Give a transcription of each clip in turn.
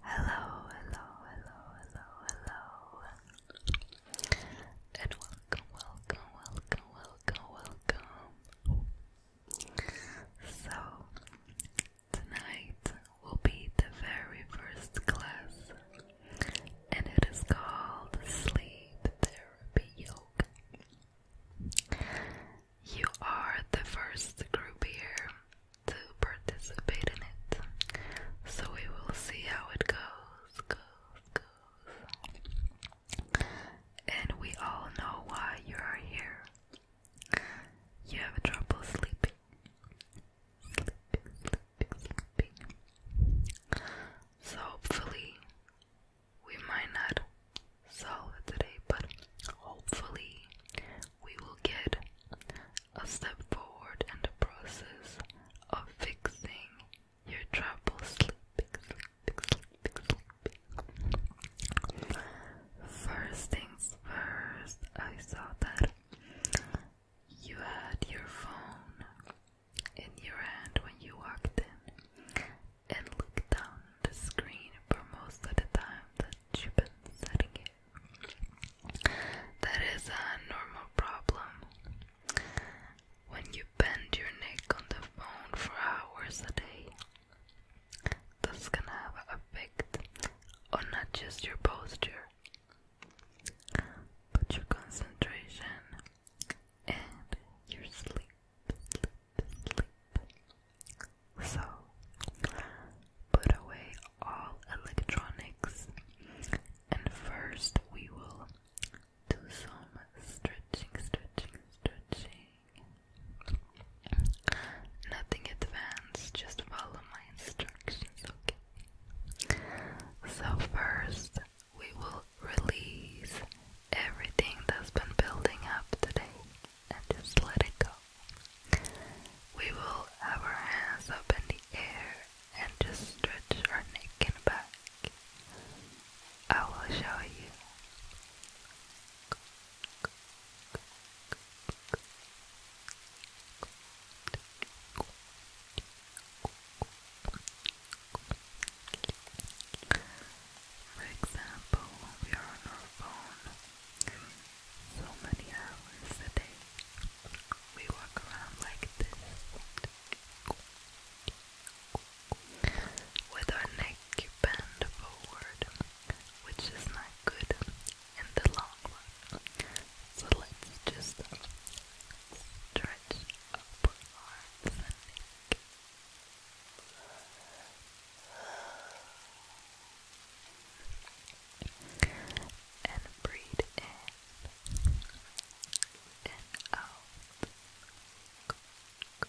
Hello, hello, hello, hello, hello. And welcome, welcome, welcome, welcome, welcome. So, tonight will be the very first class, and it is called Sleep Therapy Yoga. You are the first group here to participate in it. So we will see how it goes, And we all know why you are here. You have trouble sleeping. So hopefully we might not so today, but hopefully, we will get a step forward in the process of fixing your trouble sleeping, sleeping. First things first, I saw that you had your phone in your hand when you walked in and looked down the screen for most of the time that you've been setting That is a normal problem. When you bend your neck on the phone for hours a day, this can have an effect on not just your posture, but your concentration and your sleep, sleep. So, put away all electronics, and first we will do some stretching, stretching, stretching. Nothing advanced, just follow my instructions, okay? So, first, we will release everything that's been building up today and just let it go. We will have our hands up in the air and just stretch our neck and back. I will show you. For example, we are on our phone, so many hours a day. We walk around like this with our neck bent forward, which is not good in the long run. So let's just stretch up our neck and breathe in and out. Good.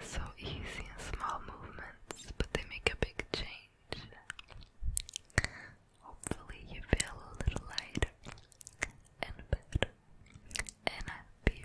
So easy and small movements, but they make a big change. Hopefully, you feel a little lighter and better and happier.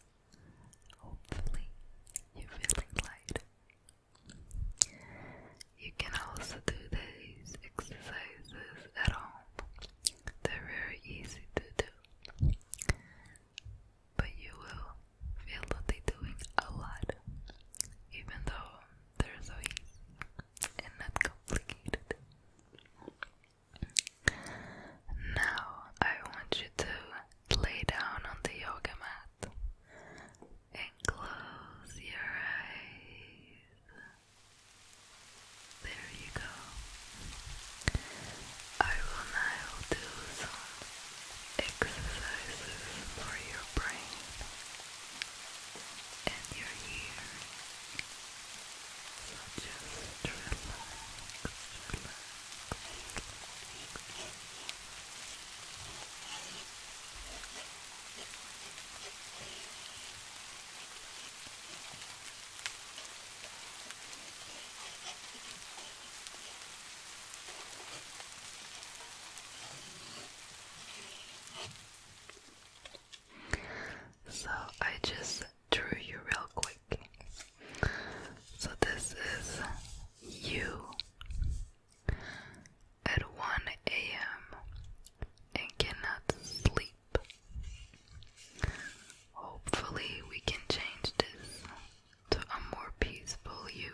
Hopefully, you're light. You can also do these exercises at home. They're very easy to do, but you will feel that they're doing a lot, even though they're so easy and not complicated. Now I want you to lay down on the yoga mat and close your eyes. There you go. I will now do some exercises for your brain and your ear so I just through you real quick. So this is you at 1 a.m. and cannot sleep. Hopefully, we can change this to a more peaceful you.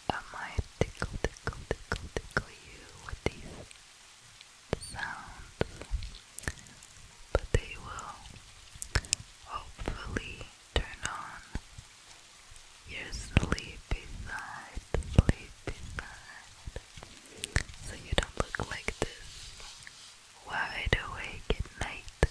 I might tickle, tickle, tickle, tickle you with these sounds, but they will hopefully turn on your sleepy side, sleepy side, so you don't look like this wide awake at night.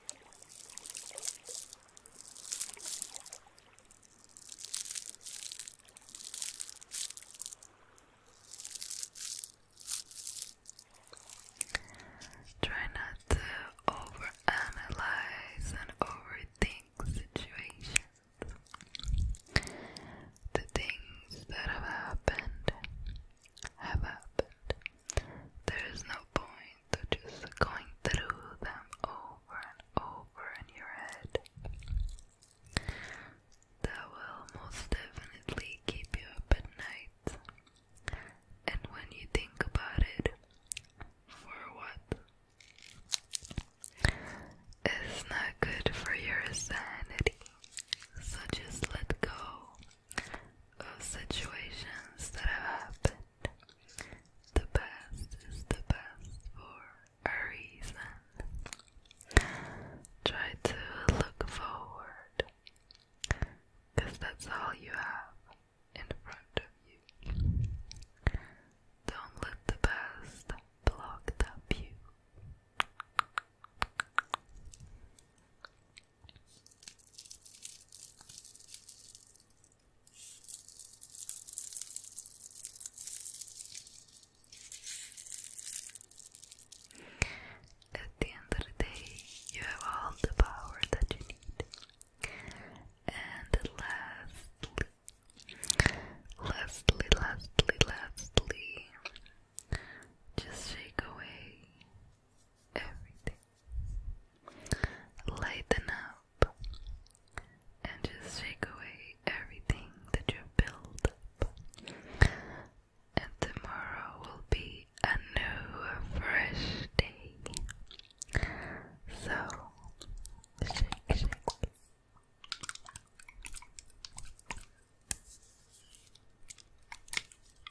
Try not to overanalyze and overthink situations. The things that have happened have happened. There is no point to just going through them over and over in your head. That will most definitely keep you up at night. And when you think about it, for what? It's not good for your sanity. So just let go of situations that have happened. The past is the past for a reason. Try to look forward, because that's all you have in front of you. Don't let the past block the view. At the end of the day, you have all the power that you need. And lastly, lastly, lastly, lastly, just shake away everything. Lighten up and just shake away everything that you've built up. And tomorrow will be a new, fresh day. So, shake, shake.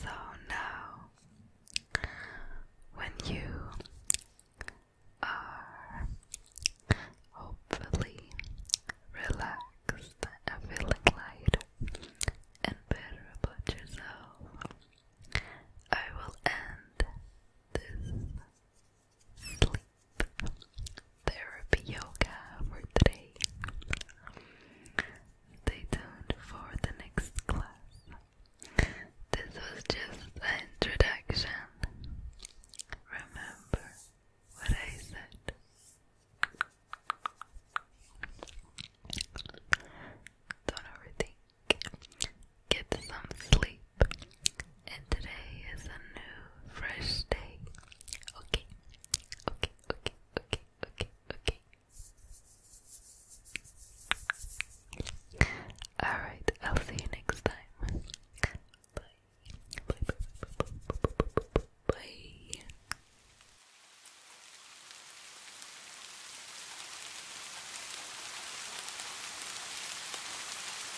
So now, when you are hopefully relaxed and feeling lighter and better about yourself, I will end this sleep therapy yoga for today. Stay tuned for the next class. This was just an introduction. Remember what I said. Don't overthink. Get some sleep and today is a new, fresh day. Okay, okay, okay, okay, okay, okay. Alright, I'll see you next time. Bye.